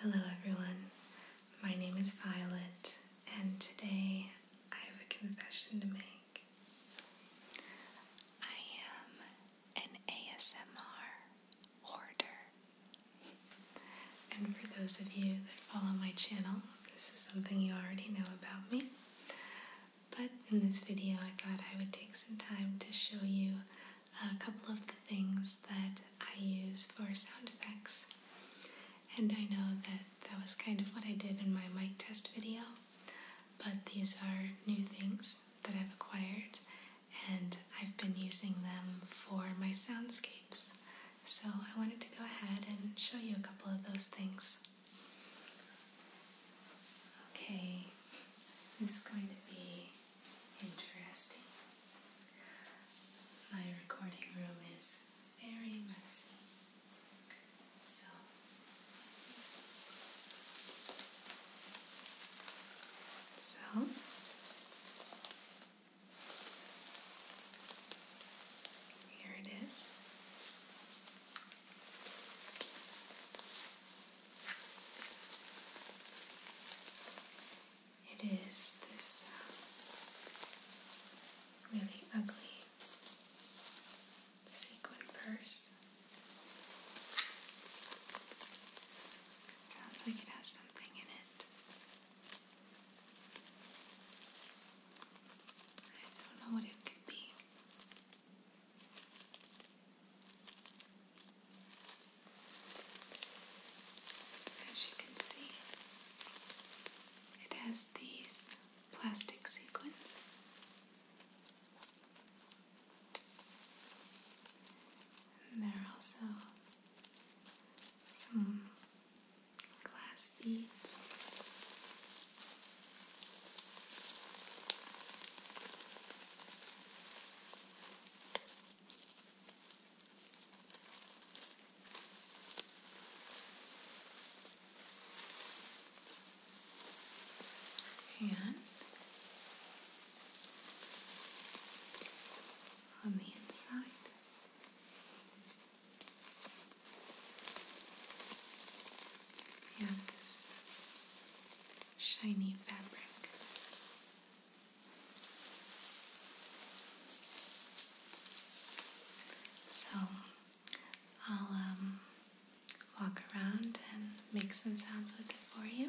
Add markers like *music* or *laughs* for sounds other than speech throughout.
Hello everyone, my name is Violet, and today I have a confession to make. I am an ASMR hoarder. and for those of you that follow my channel, this is something you already know about me. But in this video, I thought I would take some time to show you a couple of the things that I use for sound effects. And I know that that was kind of what I did in my mic test video, but these are new things that I've acquired and I've been using them for my soundscapes. So I wanted to go ahead and show you a couple of those things. Okay, this is going to be interesting. My recording room is very messy. So so here it is. It is this um, really ugly sequin purse. Sounds like it has something in it. I don't know what it could be. As you can see, it has these plastic sequins. And there are also some glass beads. And on the inside. And this shiny fabric. So I'll um, walk around and make some sounds with it for you.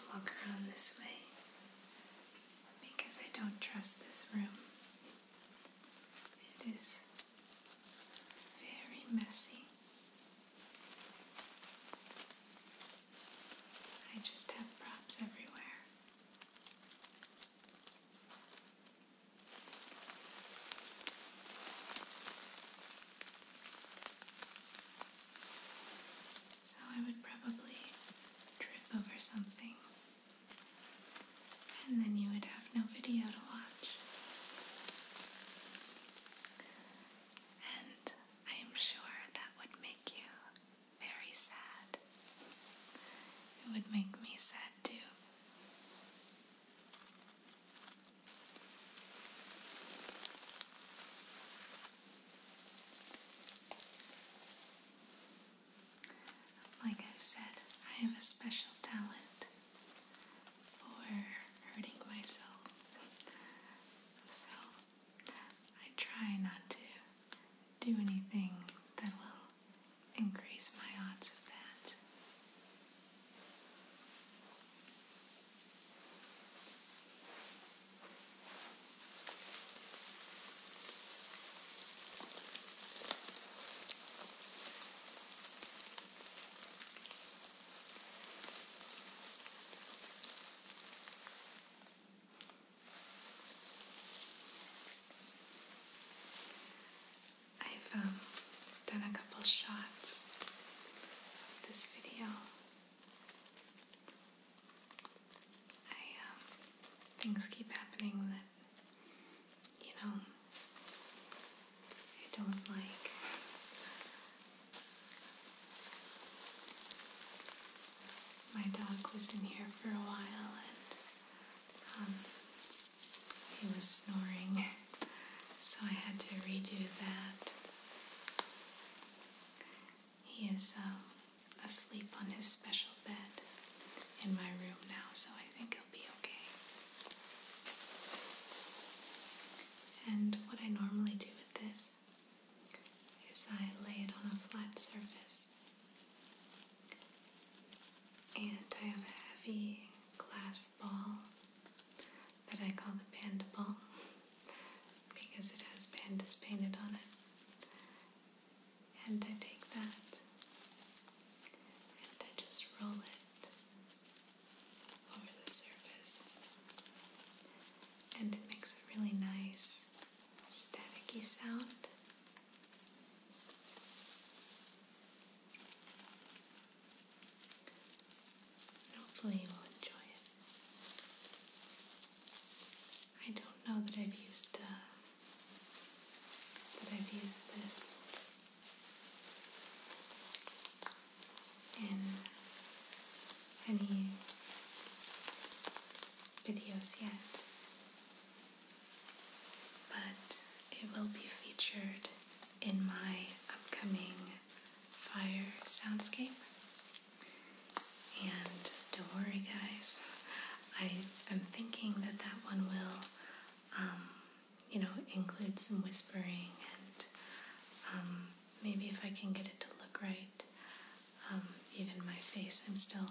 i walk around this way because I don't trust this room. It is very messy. I just have props everywhere. So I would probably trip over something, and then you would have no video to watch. And I am sure that would make you very sad. It would make me sad too. Like I've said, I have a special talent for hurting myself. so I try not to do anything that will increase my odds of that. I've um, done a couple shots of this video. I um, things keep happening that you know I don't like. My dog was in here for a while and um, he was snoring, *laughs* so I had to redo that. He is um, asleep on his special bed in my room now, so I think he'll be okay. And what I normally do with this is I lay it on a flat surface and I have a heavy glass ball that I call the panda ball because it has pandas painted on it. And I take that and I just roll it over the surface. And it makes a really nice staticky sound. And hopefully you will enjoy it. I don't know that I've used uh, that I've used this in any videos yet, but it will be featured in my upcoming fire soundscape. And don't worry, guys, I am thinking that that one will, um, you know, include some whispering and um, maybe if I can get it to look right, um, even my face, I'm still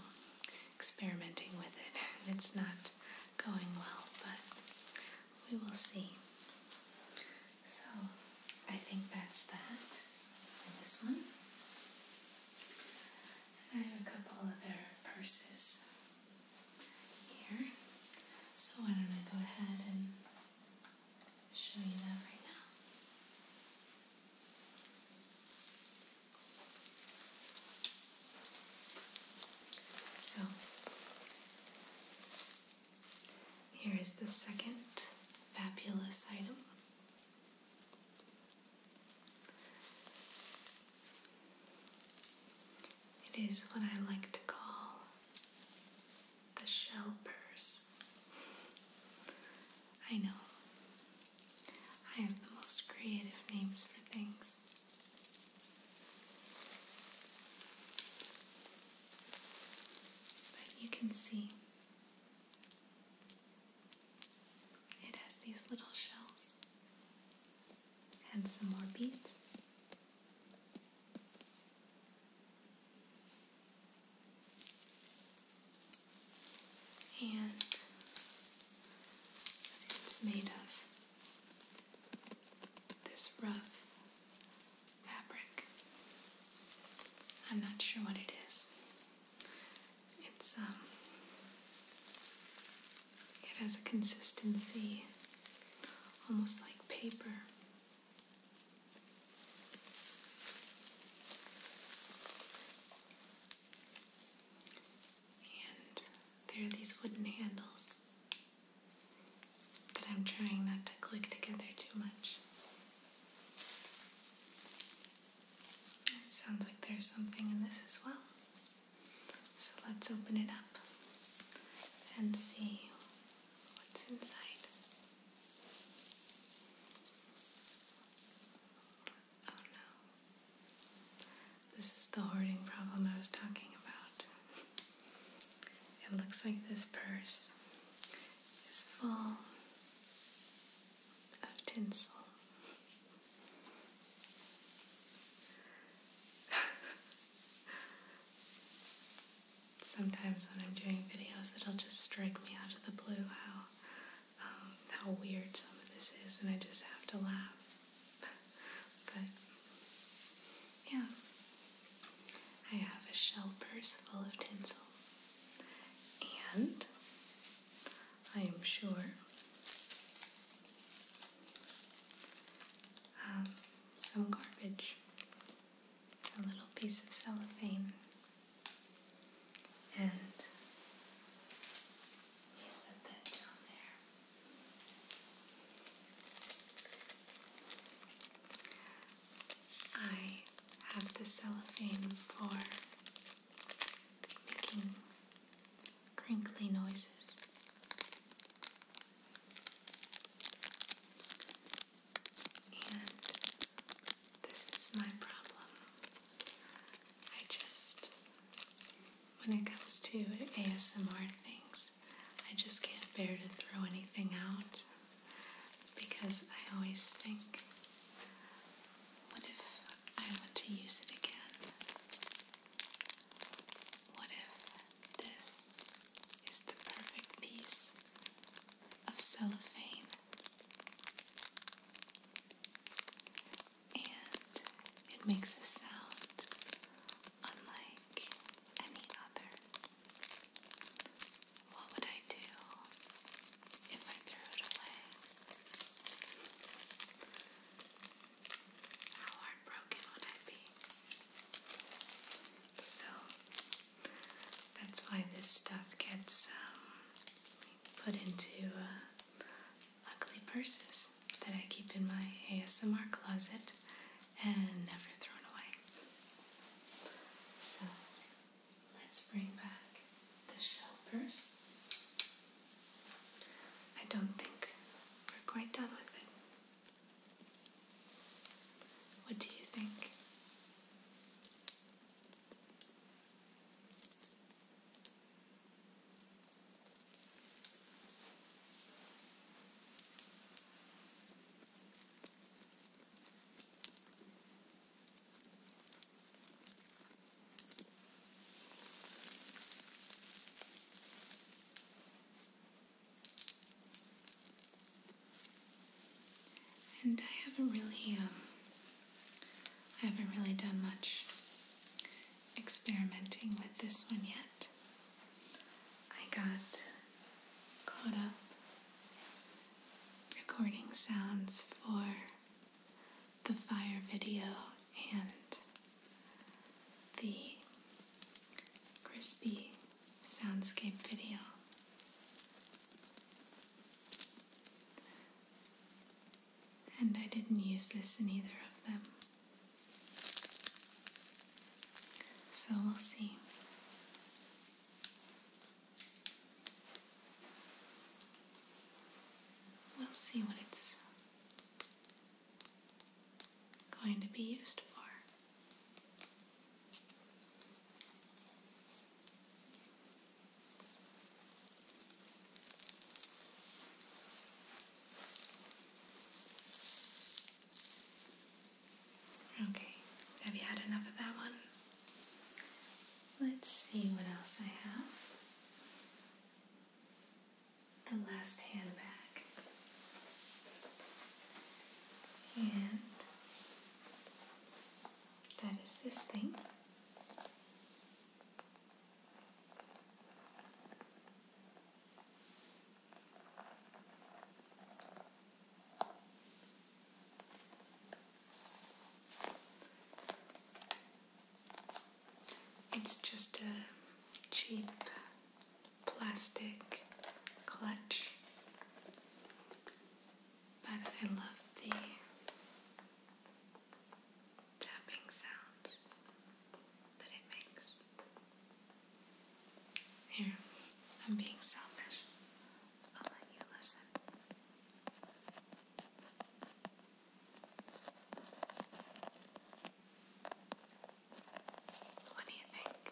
experimenting with it. *laughs* It's not going well, but we will see. So I think that's that for this one. I have a couple other purses here. So why don't I go ahead and show you that right now? So here is the second fabulous item. It is what I like to call the shell purse. I know. I have the most creative names for things you can see it has these little shells and some more beads. And it's made of this rough fabric. I'm not sure what it is. It's, um, it has a consistency almost like paper. And there are these wooden handles. But I'm trying not to click together too much. sounds like there's something in this as well. So let's open it up and see what's inside. Oh no. This is the Harding problem I was talking about. It looks like this purse is full of tinsel. *laughs* Sometimes when I'm doing videos, it'll just strike me out of the blue how um, how weird some of this is, and I just have to laugh. *laughs* But yeah, I have a shell purse full of tinsel, and I am sure um, some garbage, a little piece of cellophane, and he set that down there. I have the cellophane for making crinkly noises. And this is my problem. I just, when it comes to ASMR things, I just can't bear to throw anything out because I always think, what if I want to use it again? What if this is the perfect piece of cellophane? And it makes a sound unlike any other. What would I do if I threw it away? How heartbroken would I be? So that's why this stuff gets um, put into uh, ugly purses that I keep in my ASMR closet and never thrown away. So let's bring back the shell purse. I don't think we're quite done with it. What do you think? And I haven't really, um, I haven't really done much experimenting with this one yet. I got caught up recording sounds for the fire video and the crispy soundscape video. And I didn't use this in either of them. So we'll see. We'll see what it's going to be used for. Okay, have you had enough of that one? Let's see what else I have. The last handbag. And that is this thing. It's just a cheap plastic clutch, but I love the tapping sounds that it makes. Here, I'm being selfish. I'll let you listen. What do you think?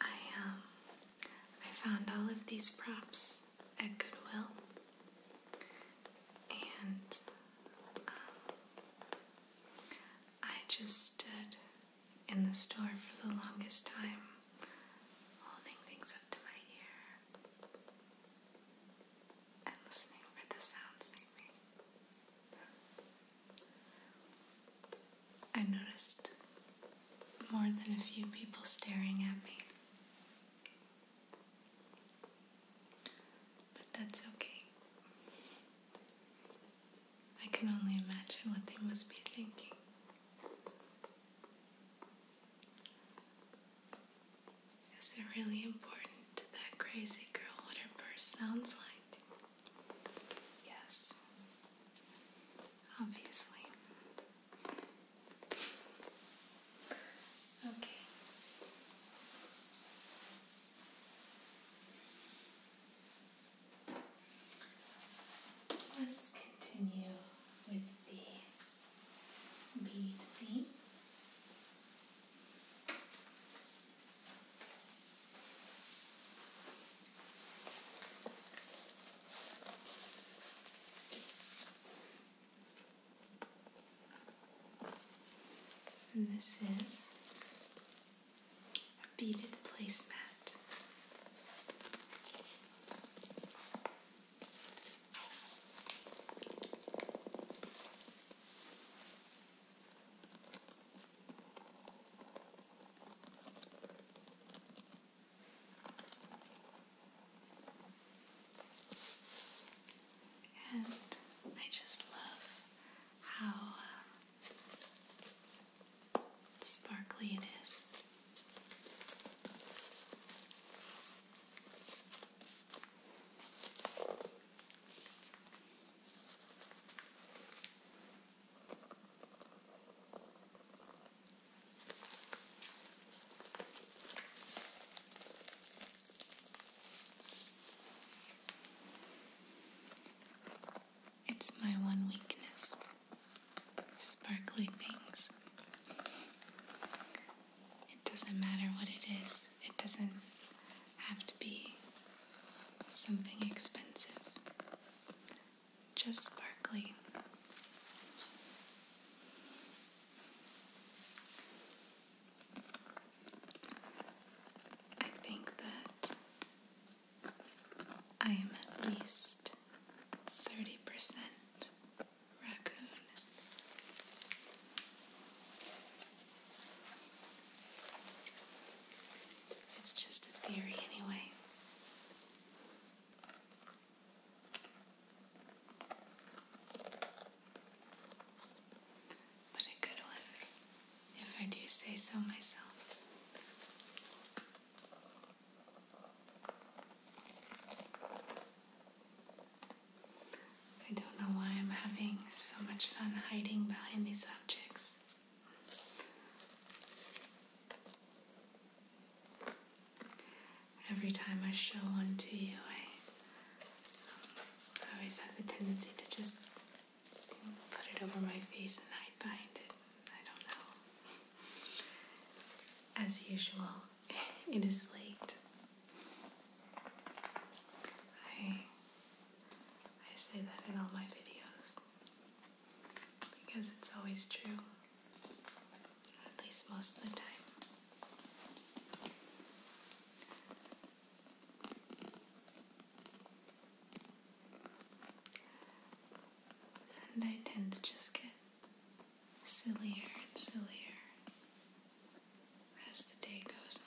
I um I found all of these props at Goodwill, and um, I just stood in the store for the longest time, holding things up to my ear and listening for the sounds they made. I noticed more than a few people staring at me. But that's okay. I can only imagine what they must be thinking. Is it really important to that crazy girl what her purse sounds like? Yes. Obviously. Okay. Let's continue with the bead theme. And this is a beaded placemat. And I just love how um, sparkly it is. It's my one weakness sparkly things. It doesn't matter what it is, it doesn't have to be something expensive just sparkly. I think that I am at least 30% raccoon. It's just a theory, anyway. But a good one, if I do say so myself. I don't know why I'm having so much fun hiding behind these objects every time I show one to you, I, always have the tendency to just put it over my face and I find it. I don't know. As usual, *laughs* it is late. I I say that in all my videos because it's always true. At least most of the time. And I tend to just get sillier and sillier as the day goes on.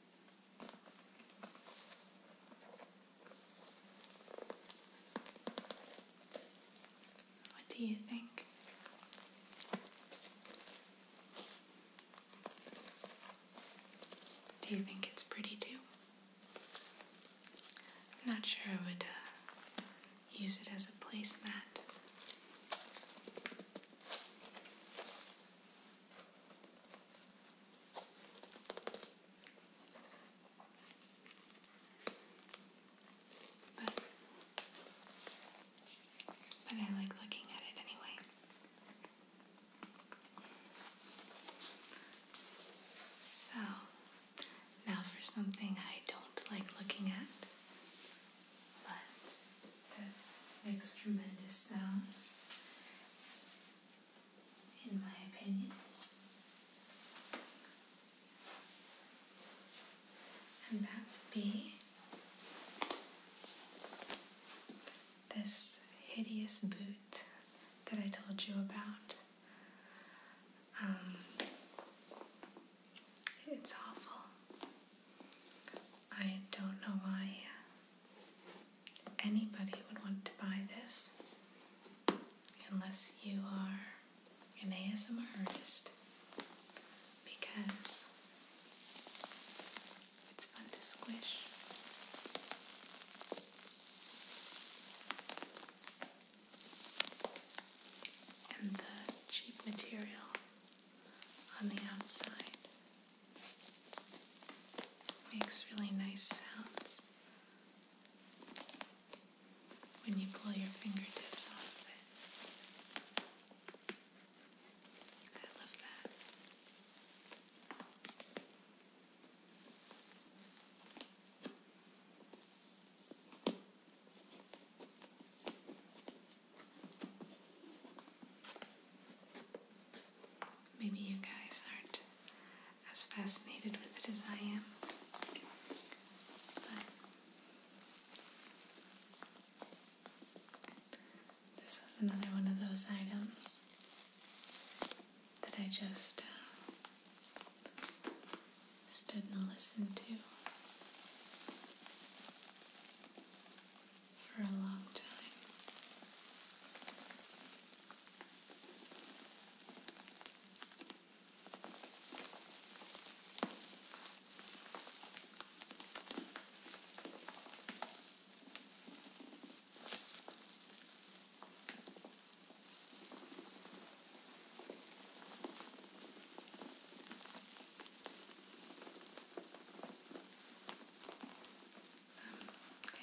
What do you think? Do you think it's pretty too? I'm not sure I would uh, use it as a placemat. But, I like looking at it anyway. So, now for something I don't like looking at, but that makes tremendous sounds in my opinion. And that would be this hideous boot that I told you about. Um, it's awful. I don't know why anybody would want to buy this unless you are an ASMR artist because it's fun to squish. And the cheap material on the outside Makes really nice sounds when you pull your fingertips off of it. I love that. Maybe you guys aren't as fascinated with it as I am. But this is another one of those items that I just uh, stood and listened to for a long time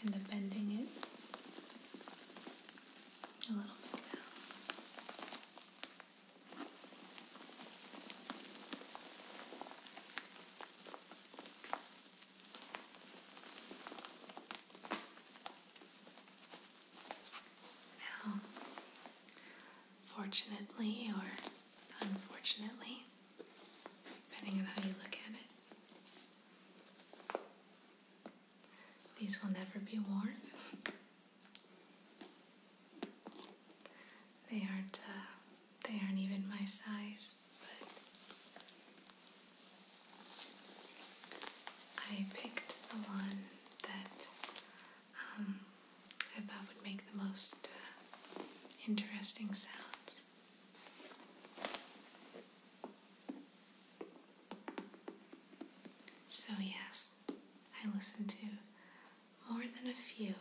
kind of bending it a little bit now. Now, fortunately or unfortunately, depending on how you look at it, these will never be worn. They aren't uh, they aren't even my size, but I picked the one that um, I thought would make the most uh, interesting sounds. So, yes, I listened to more than a few.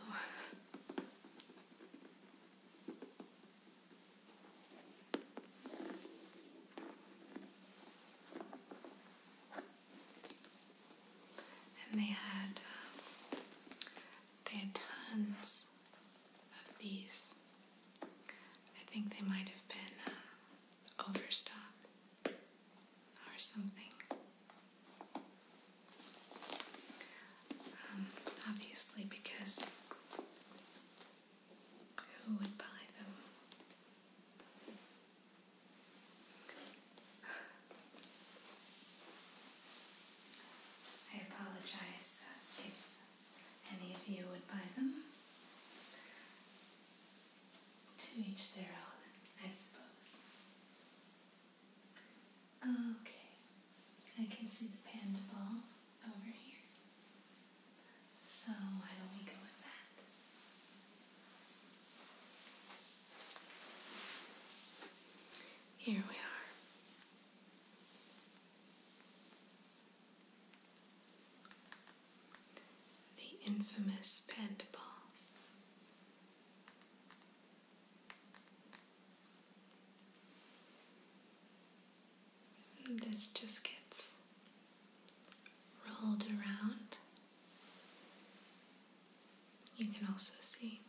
and they had um, they had tons of these I think they might have been uh, overstocked or something. Um, obviously, because who would buy them? *sighs* I apologize uh, if any of you would buy them. To each their own, I suppose. Okay, I can see the panda ball over here. So why don't go with that? Here we are the infamous pent ball. This just gets rolled around. You can also see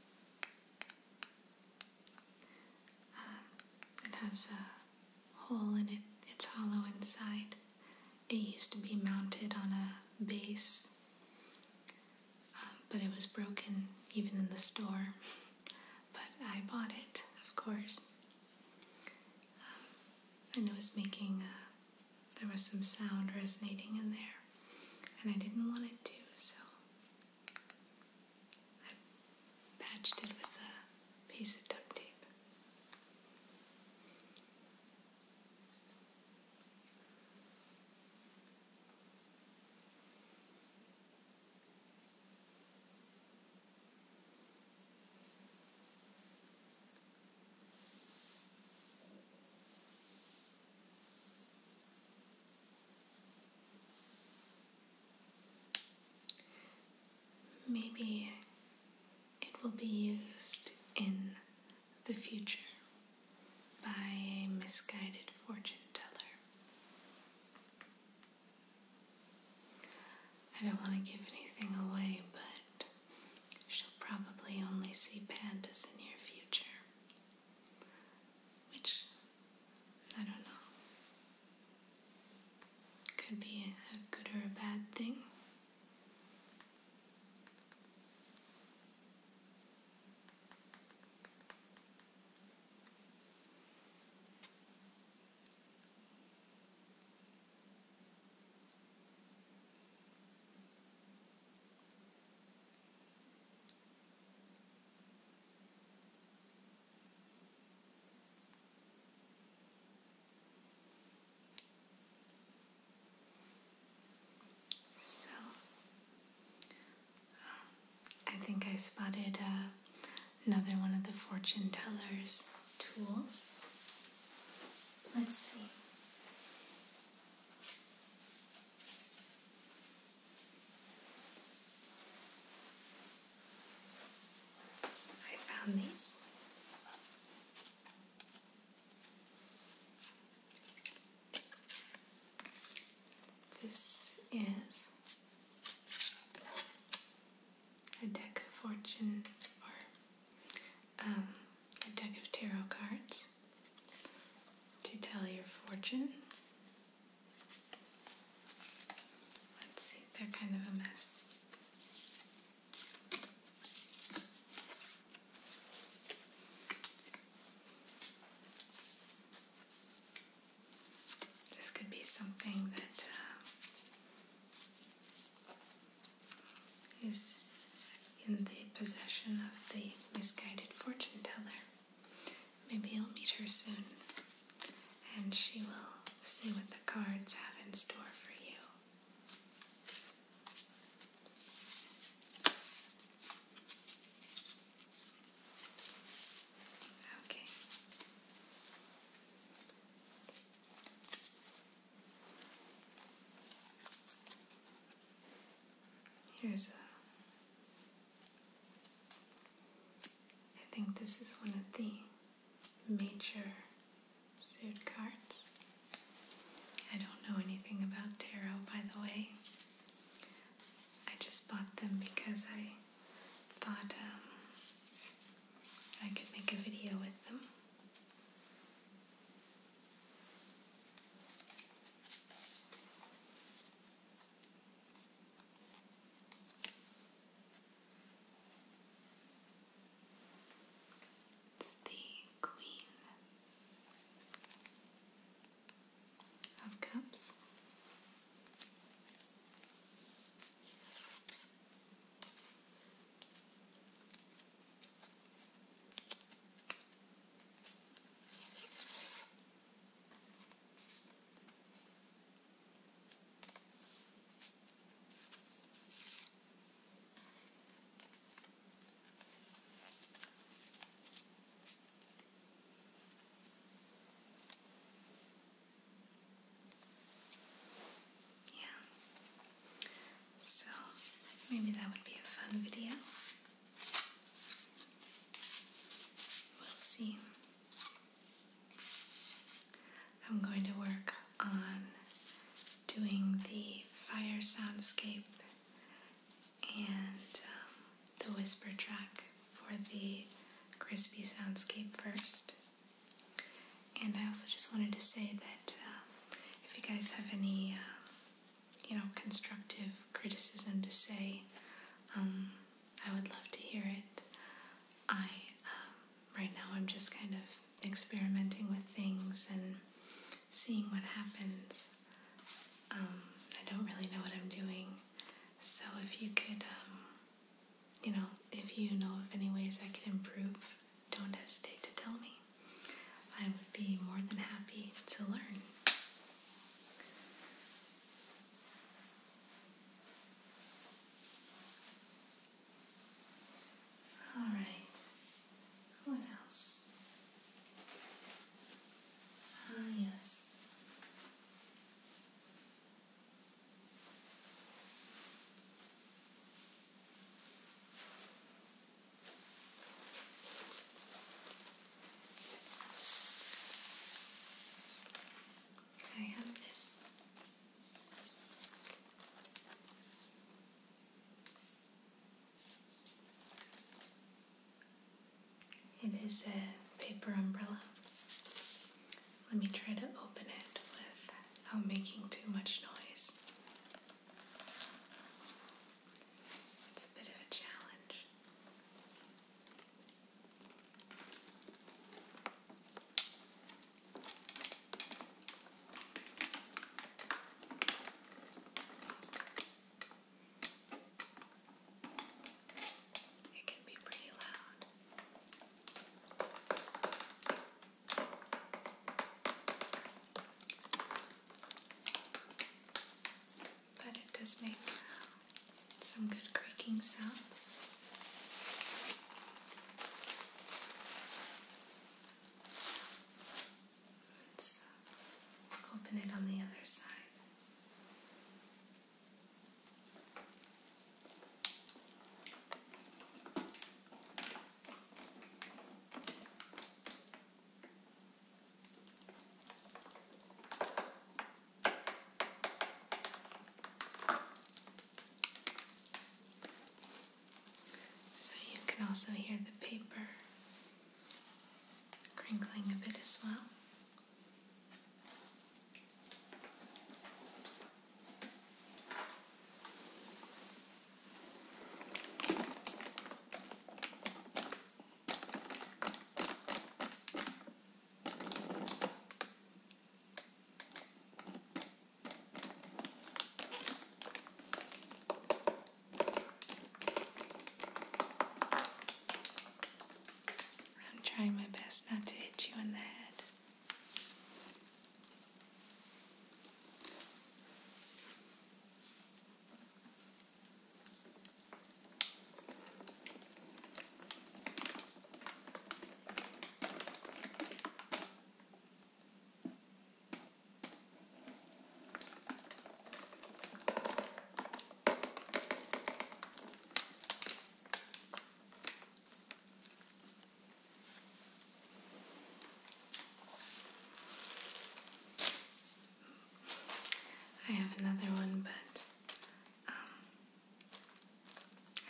uh, it has a hole in it, it's hollow inside. It used to be mounted on a base, um, but it was broken even in the store. *laughs* But I bought it, of course. Um, and it was making, uh, there was some sound resonating in there, and I didn't want it to, so I patched it with a piece of duct tape. Maybe it will be used in the future by a misguided fortune teller. I don't want to give anything away, but she'll probably only see pandas in your future. Which, I don't know. Could be a good or a bad thing. So, uh, I think I spotted uh, another one of the fortune teller's tools. Let's see. I found these. This is a deck of fortune or um, a deck of tarot cards to tell your fortune. Let's see, they're kind of a mess. This could be something that uh, is in the possession of the misguided fortune teller. Maybe you'll meet her soon and she will see what the cards have in store for you. Okay. Here's a I think this is one of the major suit cards. I don't know anything about tarot, by the way. I just bought them because I thought um, I could make a video with them. It's the Queen of Cups. Yeah. So maybe that would be a fun video. We'll see. I'm going to work on doing the fire soundscape and um, the whisper track for the crispy soundscape first. And I also just wanted to say that um, if you guys have any, um, you know, constructive criticism to say, I would love to hear it. I right now I'm just kind of experimenting with things and seeing what happens. Um, I don't really know what I'm doing. So if you could, um, you know, if you know of any ways I could improve, don't hesitate to tell me. I would be more than happy to learn. All right. What else? Ah, yes. I have this it is a paper umbrella. Let me try to open it without oh, making too much noise. It's a bit of a challenge. It can be pretty loud. But it does make some good creaking sounds. Let's uh, open it on the other side. So you can also hear the paper crinkling a bit as well. I'm trying my best not to hit you in the head. I have another one, but um,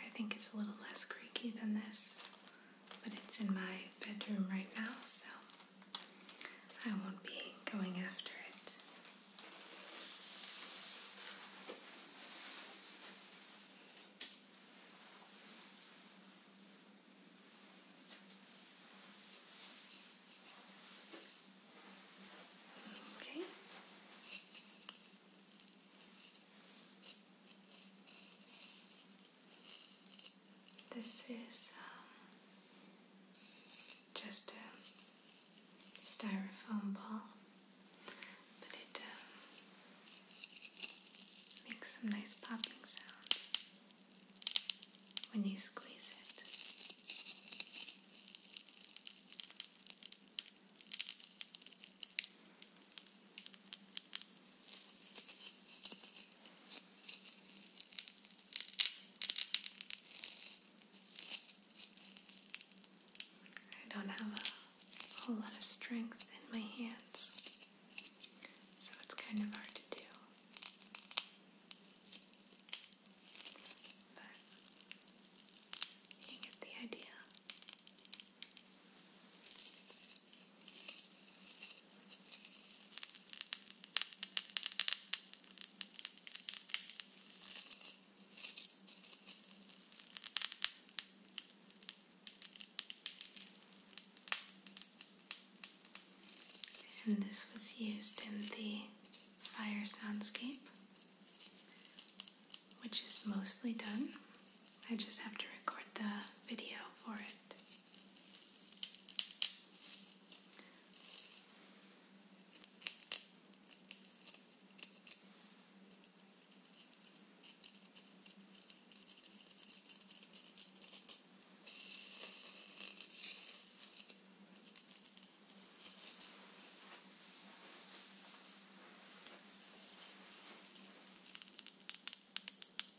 I think it's a little less creaky than this, but it's in my bedroom right now, so I won't be going after it. Okay. This is um, just a styrofoam ball, but it um, makes some nice popping sounds when you squeeze it. I don't have a whole lot of strength in my hands, so it's kind of hard to do. But you get the idea. And this was used in the fire soundscape, which is mostly done I just have to record the video for it.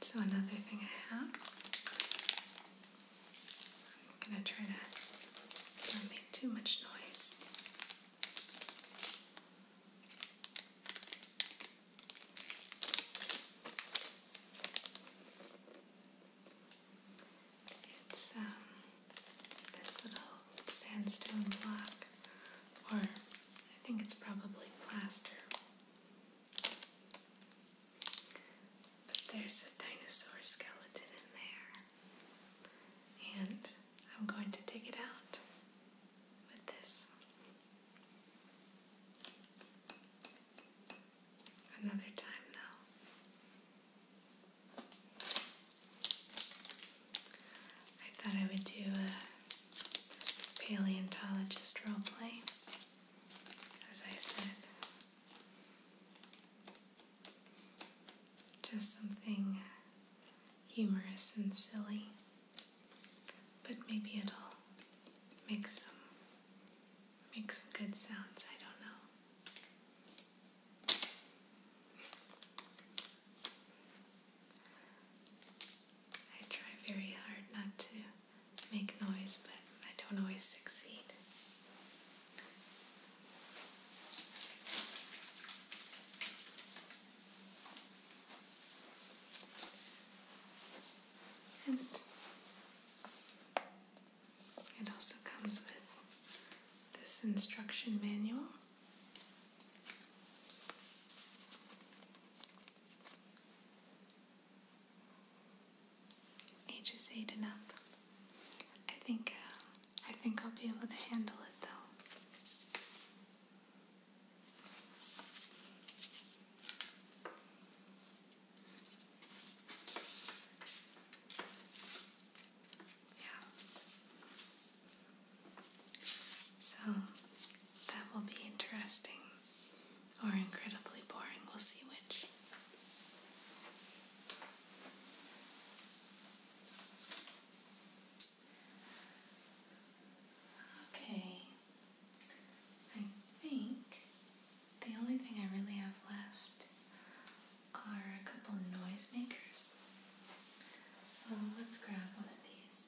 so another thing I have, I'm gonna try to not make too much noise. It's um, this little sandstone block, or I think it's probably plaster but there's a dinosaur skeleton in there, and I'm going to dig it out with this. Another time, though. I thought I would do a paleontologist roleplay, as I said. Just something humorous and silly, but maybe it'll make some make some good sounds. I don't know. I try very hard not to make noise, but I don't always succeed. And it also comes with this instruction manual. Ages eight and up. I think uh, I think I'll be able to handle it though. Yeah. So that will be interesting or incredibly boring. We'll see which. Okay, I think the only thing I really have left are a couple noisemakers. So let's grab one of these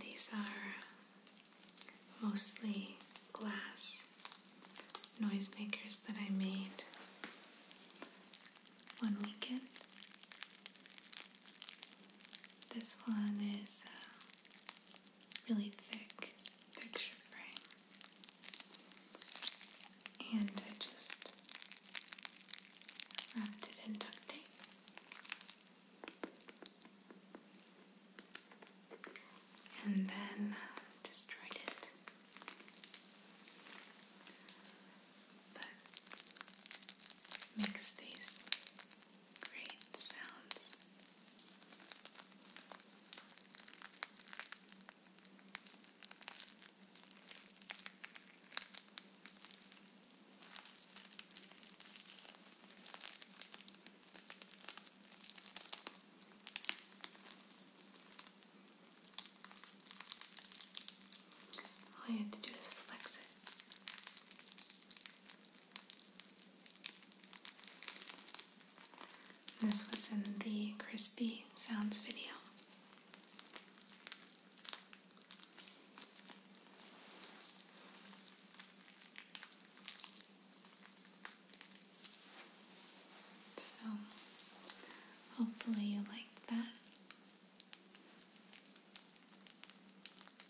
these are mostly glass noisemakers that I made one weekend. This one is uh, really thick picture frame. And I just wrapped it in duct tape. And then uh, destroyed it. But makes these all you have to do is flex it. This was in the Crispy Sounds video. So, hopefully, you like that.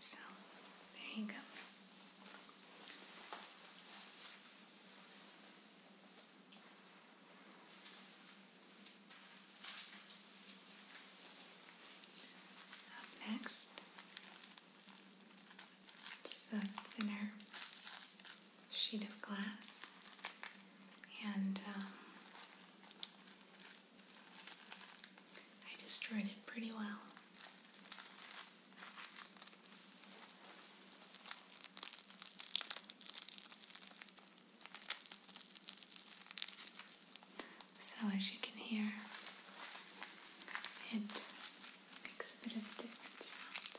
So, there you go. Up next, it's a thinner sheet of glass, and um, I destroyed it pretty well. So, as you can hear, it makes a bit of a different sound.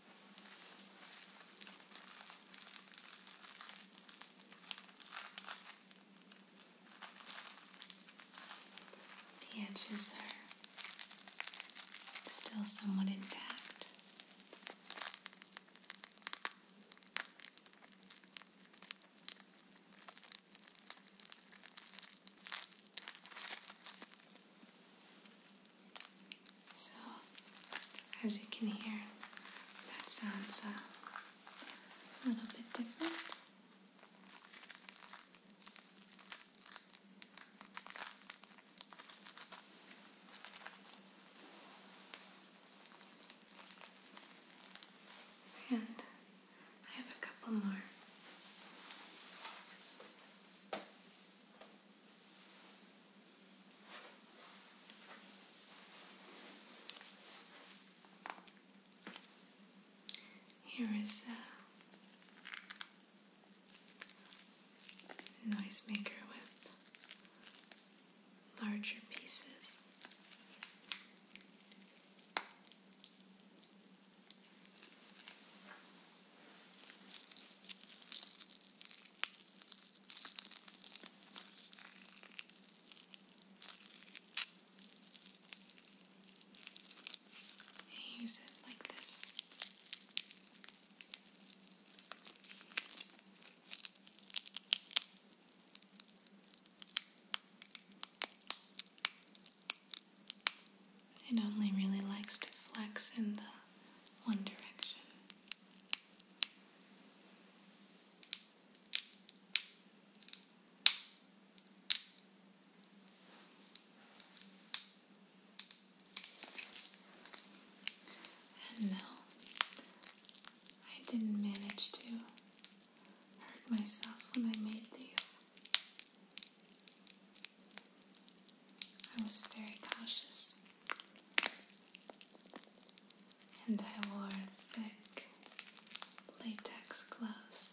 The edges are still somewhat intact. So, as you can hear, that sounds uh, a little bit different. And I have a couple more. Here is a noise maker with larger pieces use it like this. It only really likes to flex in the one direction. And no, I didn't manage to hurt myself when I made these. I was very cautious and I wore thick latex gloves.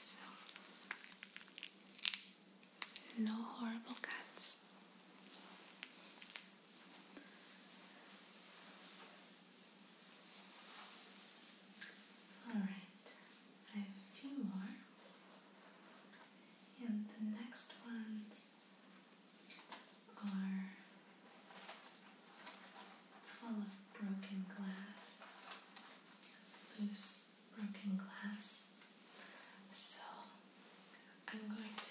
So, no horrible cuts. All right, I have a few more, and the next ones are full of broken glass, loose broken glass. So I'm going to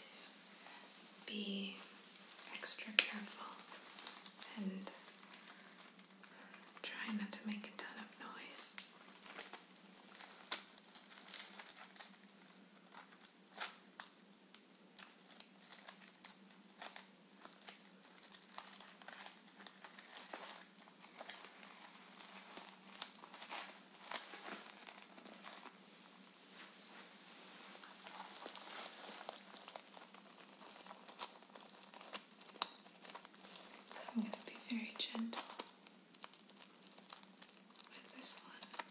be extra careful and try not to make a ton of noise. I'm going to be very gentle with this one.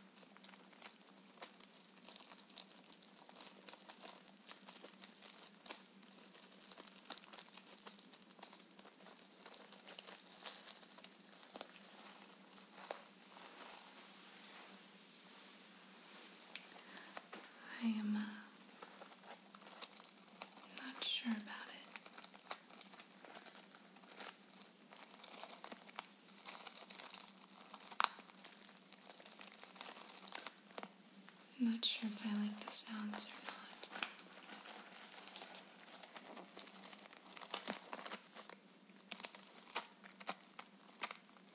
I am uh, not sure about it. I'm not sure if I like the sounds or not.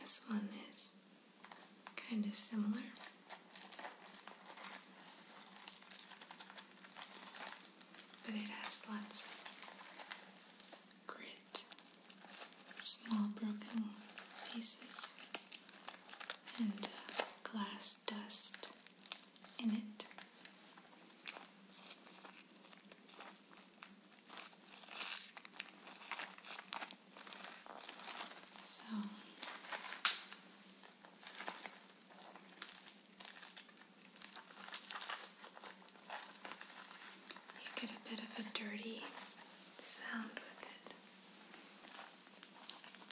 this one is kind of similar. But it has lots of grit, small broken pieces and uh, glass dust in it. So you get a bit of a dirty sound with it.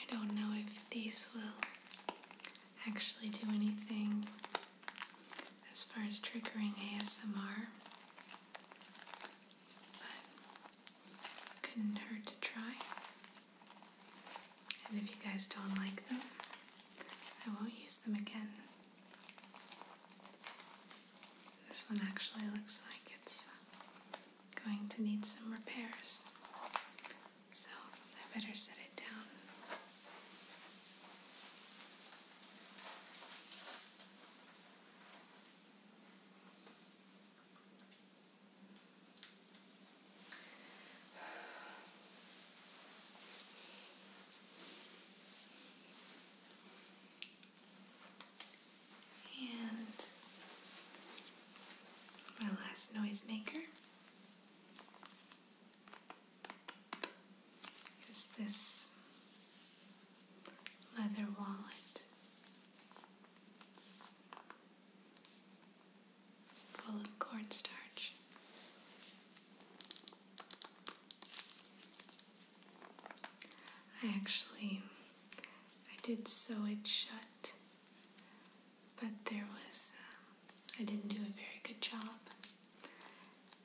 I don't know if these will actually do anything as far as triggering ASMR, but couldn't hurt to try. And if you guys don't like them, I won't use them again. This one actually looks like it's going to need some repairs. So I better set it down. And my last noisemaker is this leather wallet full of cornstarch. I actually I did sew it shut, but there was um, I didn't do a very good job,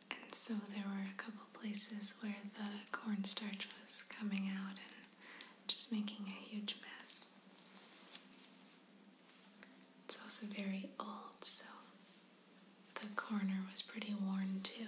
and so there were a couple places where the cornstarch was coming out and just making a huge mess. It's also very old, so the corner was pretty worn too.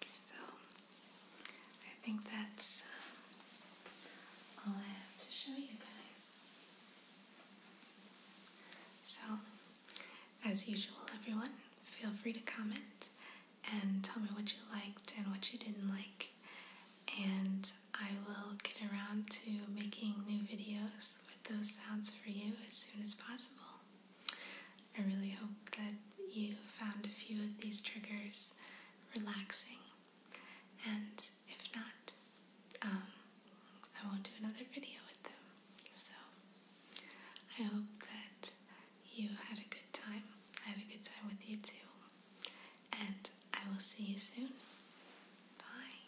So I think that's um, all I have to show you guys. So, as usual, everyone, feel free to comment and tell me what you liked and what you didn't like. And I will get around to making new videos with those sounds for you as soon as possible. I really hope that you found a few of these triggers relaxing. And if not, um, I won't do another video with them. So I hope that you had a good time. I had a good time with you too. And I will see you soon. Bye.